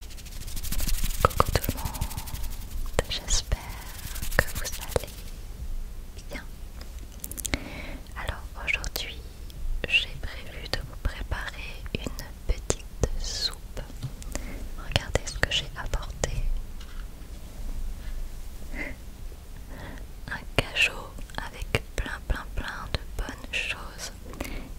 Coucou tout le monde, j'espère que vous allez bien. Alors aujourd'hui, j'ai prévu de vous préparer une petite soupe. Regardez ce que j'ai apporté. Un cachot avec plein plein plein de bonnes choses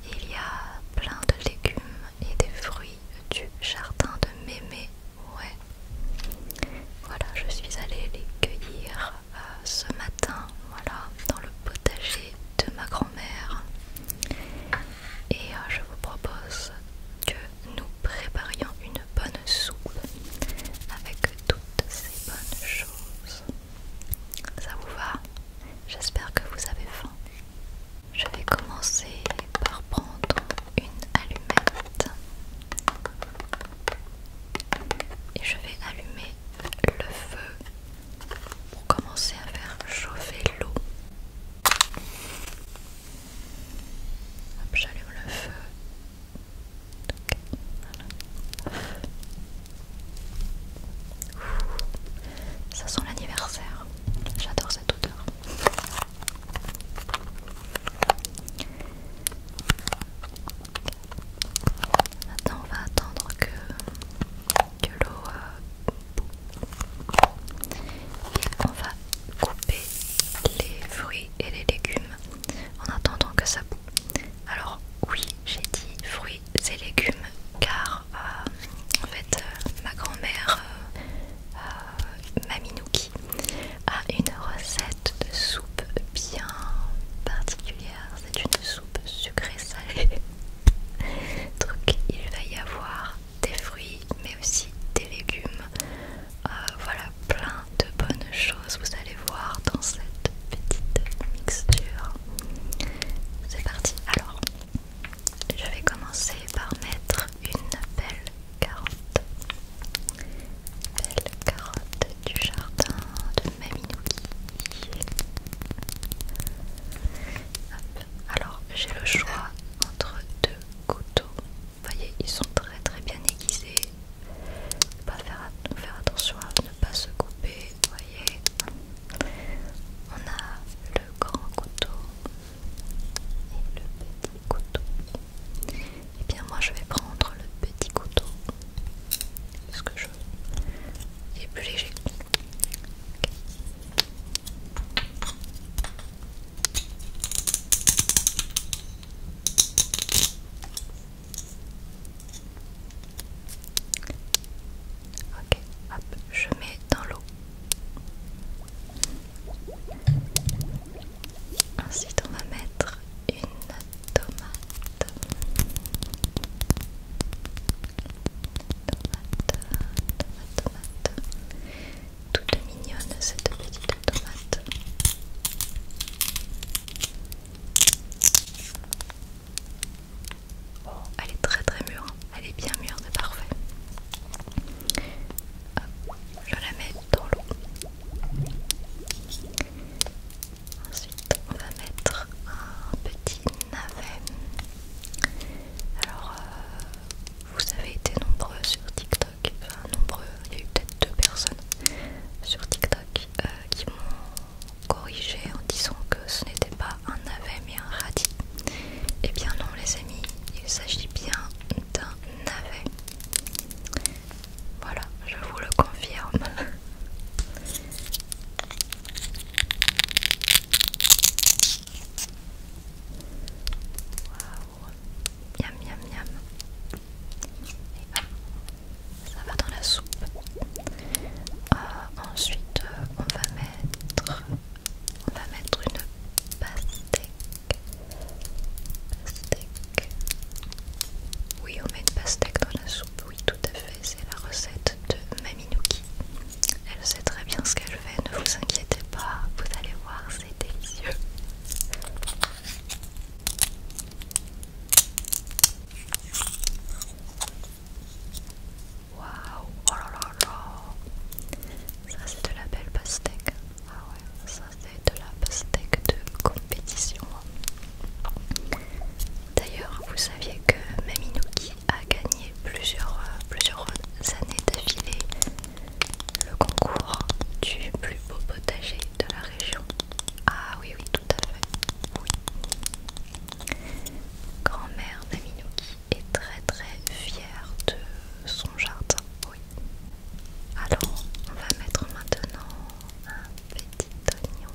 il y a plein de légumes et des fruits du jardin de mémé. Ouais. Voilà, je suis allée les cueillir euh, ce matin, voilà, dans le potager de ma grand-mère. Et euh, je vous propose que nous préparions une bonne soupe avec toutes ces bonnes choses. Ça vous va J'espère que vous avez faim. Je vais commencer par prendre une allumette et je vais allumer le feu pour commencer à faire chauffer l'eau. J'allume le feu. Ça sent l'anniversaire. J'adore cette odeur. Maintenant, on va attendre que, l'eau euh, boue. Et on va couper les fruits et les légumes en attendant que ça boue. Alors, oui, j'ai dit fruits fruits légumes car euh, en fait euh, ma grand-mère euh, Maminuki a une recette de soupe bien particulière, c'est une soupe sucrée salée. Donc il va y avoir des fruits mais aussi des légumes. voilà plein de bonnes choses, vous allez voir dans cette petite mixture. C'est parti alors je vais commencer par mettre une belle carotte. Belle carotte du jardin de Maminouki. Alors j'ai le choix entre deux couteaux. Vous voyez, ils sont très très bien aiguisés. faire attention à ne pas se couper voyez, on a le grand couteau et le petit couteau. Et eh bien moi je vais prendre le petit couteau parce que je il est plus léger. Ok, je mets dans l'eau. Ensuite, on va mettre une tomate. Tomate, tomate, tomate. Toute mignonne cette petite tomate. Bon, oh, elle est très très mûre, hein. elle est bien mûre, c'est parfait. je la mets dans l'eau. Ensuite, on va mettre un petit navet. Alors, euh, vous avez été nombreux sur TikTok, enfin nombreux, il y a eu peut-être deux personnes sur TikTok euh, qui m'ont corrigé en disant que ce n'était pas un navet mais un radis. Eh bien non les amis, il s'agit bien d'un navet. Voilà, je vous le confirme. Waouh, miam ça va dans la soupe. Euh, ensuite, euh, on va mettre, va mettre une pastèque. Oui, on met une pastèque dans la soupe. Oui, tout à fait. C'est la recette de Maminouki. Elle sait très bien ce qu'elle fait. Ne vous inquiétez pas. Vous allez voir, c'est délicieux. Waouh, oh là là Ça c'est de la belle pastèque. Ah ouais, ça c'est de la pastèque de compétition. D'ailleurs, vous saviez que Maminouki a gagné plusieurs, euh, plusieurs années d'affilée le concours du plus beau potager de la région. Ah oui, oui, tout à fait. Grand-mère qui est très très fière de son jardin. Alors, on va mettre maintenant un petit oignon.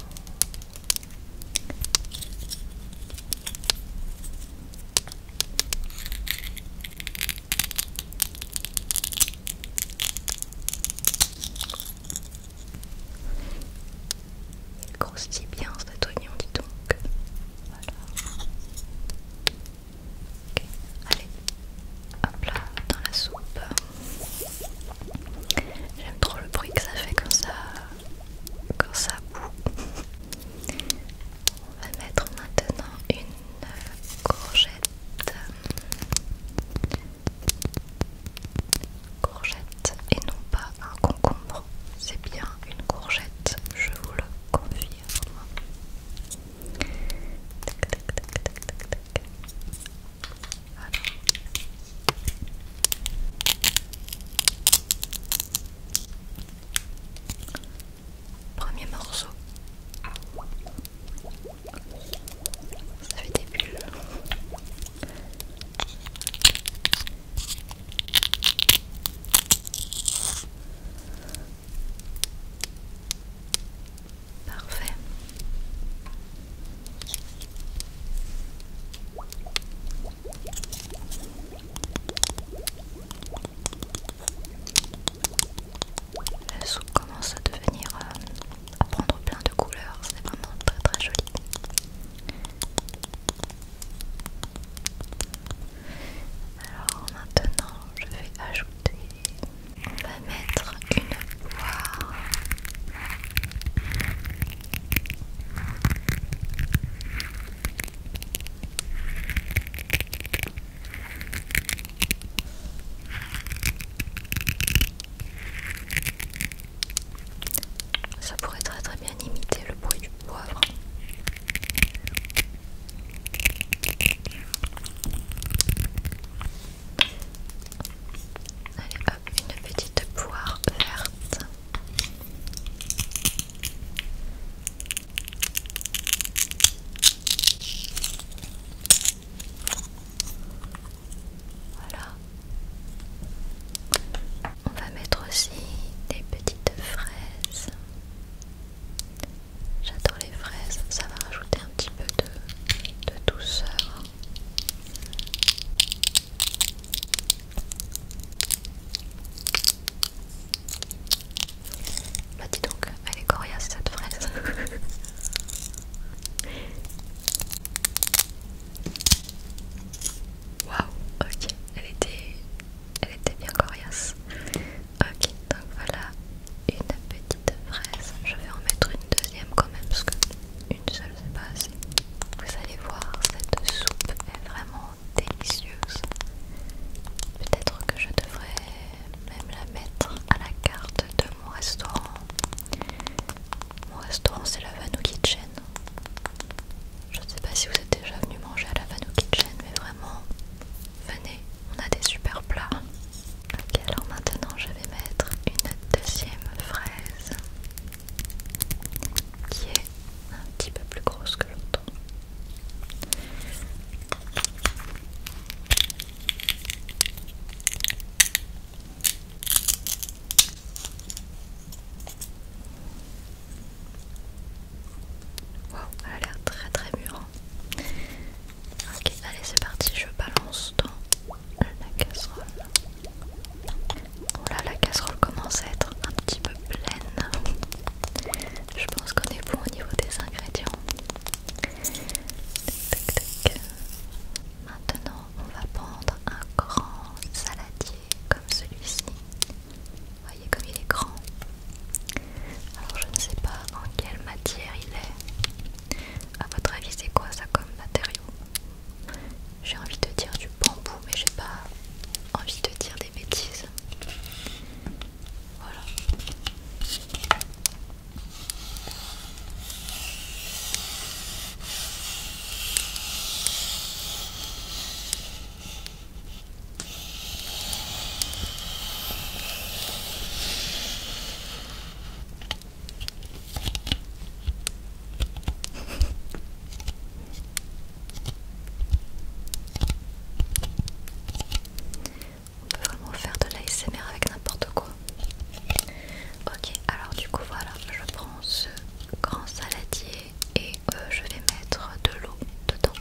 Il grossit bien cet oignon, dis donc. Allez, hop là, dans la soupe. J'aime trop le bruit que ça fait quand ça, quand ça boue. On va mettre maintenant une courgette. Courgette et non pas un concombre, c'est bien une courgette, je vous le confirme. Premier morceau. Ça fait des bulles. Parfait. La soupe commence à devenir euh, à prendre plein de couleurs, c'est vraiment très très joli. Alors maintenant je vais ajouter, on va mettre une poire. Ça pourrait très très bien imiter le bruit du poivre. Allez hop, une petite poire verte. Voilà. On va mettre aussi des petites fraises. J'adore les fraises, ça va rajouter un petit peu de, de douceur. Bah, dis donc, allez est coriace cette fraise. Waouh, ok, elle était, elle était bien coriace. Ok, donc voilà une petite fraise. Je vais en mettre une deuxième quand même parce que une seule c'est pas assez. Vous allez voir, cette soupe est vraiment délicieuse. Peut-être que je devrais même la mettre à la carte de mon restaurant mon restaurant c'est la Vanou Kitchen. Je ne sais pas si vous êtes déjà venu manger à la Vanou Kitchen, mais vraiment, venez, on a des super plats. Ok, alors maintenant je vais mettre une deuxième fraise qui est un petit peu plus grosse que l'autre. Wow, elle a l'air très très mûre. Hein. allez c'est parti, je balance dans la casserole. Oh la casserole commence à être un petit peu pleine. Je pense qu'on est bon au niveau des ingrédients. Maintenant, on va prendre un grand saladier comme celui-ci. Voyez comme il est grand. Alors je ne sais pas en quelle matière il est. À votre avis, c'est quoi ça comme matériau J'ai envie de dire du bambou, mais j'ai pas envie de dire des bêtises. Voilà. On peut vraiment faire de l'ASMR avec n'importe quoi. Ok, alors du coup voilà, je prends ce grand saladier et euh, je vais mettre de l'eau dedans.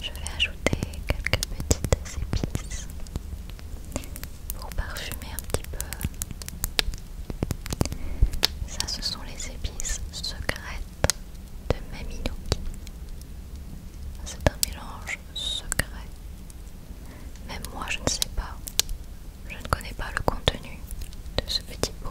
Je vais ajouter quelques petites épices pour parfumer un petit peu. Ça, ce sont les épices secrètes de Mamino C'est un mélange secret. Même moi, je ne sais pas. Je ne connais pas le contenu de ce petit pot.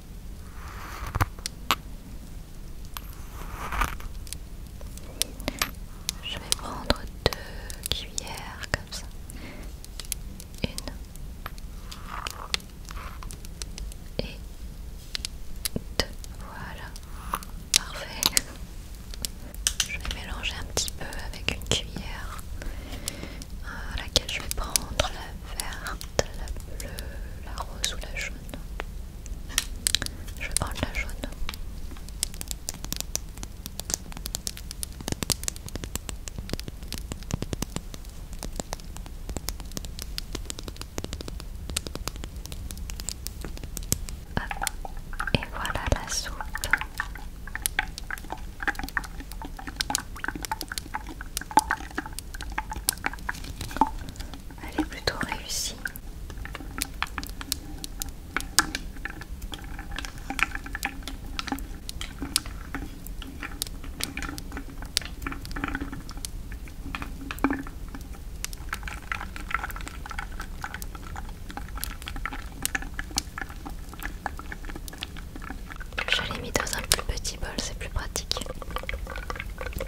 Je vais prendre deux cuillères comme ça. Une et deux. Voilà. Parfait. Je vais mélanger un petit peu avec une cuillère euh, laquelle je vais prendre la verte, la bleue, la rose ou la jaune. Je prends la jaune. et voilà la soupe. Elle est plutôt réussie. Je l'ai mis dans un plus petit bol, c'est plus pratique.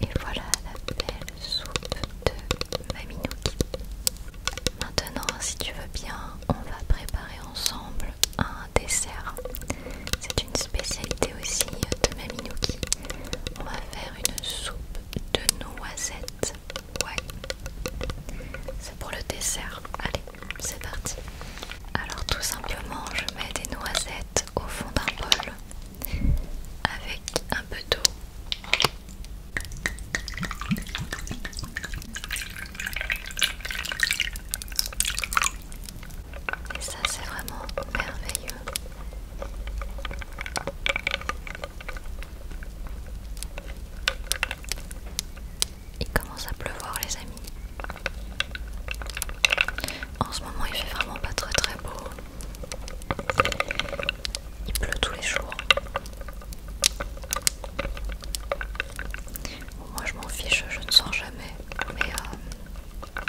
Et voilà la belle soupe de Maminouki. Maintenant, si tu veux bien, on va préparer ensemble un dessert. C'est une spécialité aussi de Maminouki. On va faire une soupe de noisettes. Ouais. C'est pour le dessert. Allez, c'est parti. Alors tout simplement, je mets des noisettes au fond d'un bol avec un peu d'eau. Et ça, c'est vraiment merveilleux. Il commence à pleuvoir les amis. En ce moment il fait vraiment pas très très beau. Il pleut tous les jours. moi je m'en fiche, je ne sens jamais. Mais euh,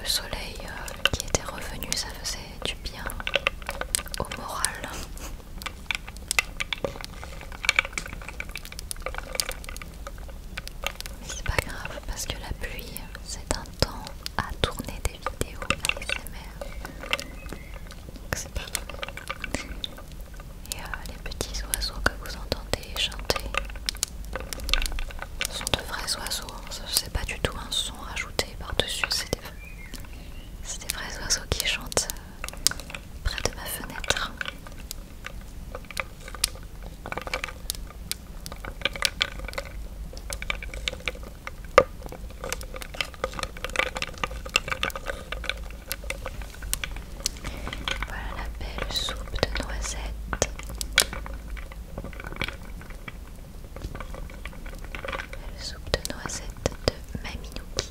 le soleil euh, qui était revenu ça faisait du bien au moral. C'est pas grave parce que la pluie, c'est un temps à tourner des vidéos ASMR. Donc c'est pas grave. Et euh, les petits oiseaux que vous entendez chanter sont de vrais oiseaux. Hein. C'est pas du tout un son ajouté par-dessus, c'est des vrais oiseaux qui chantent près de ma fenêtre. Voilà la belle soupe de noisettes. Belle soupe de noisettes de Maminuki.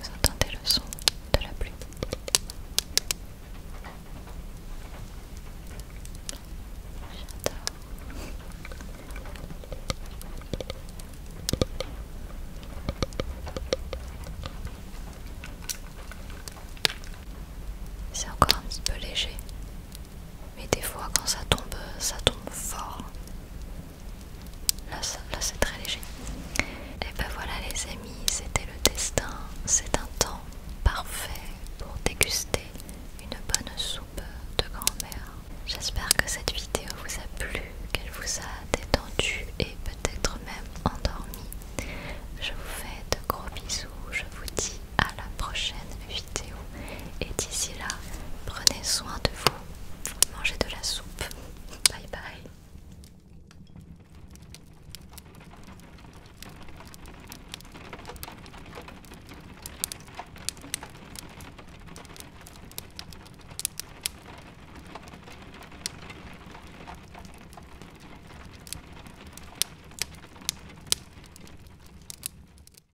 Vous entendez le son de la pluie C'est encore un petit peu léger mais des fois quand ça tombe, ça tombe fort. Là, c'est très léger. Et eh ben voilà les amis, c'était le destin. C'est un temps parfait pour déguster une bonne soupe de grand-mère. J'espère que cette vidéo vous a plu, qu'elle vous a détendu et peut-être même endormi. Je vous fais de gros bisous, je vous dis à la prochaine vidéo. Et d'ici là, prenez soin de vous. Mangez de la soupe. Bye bye.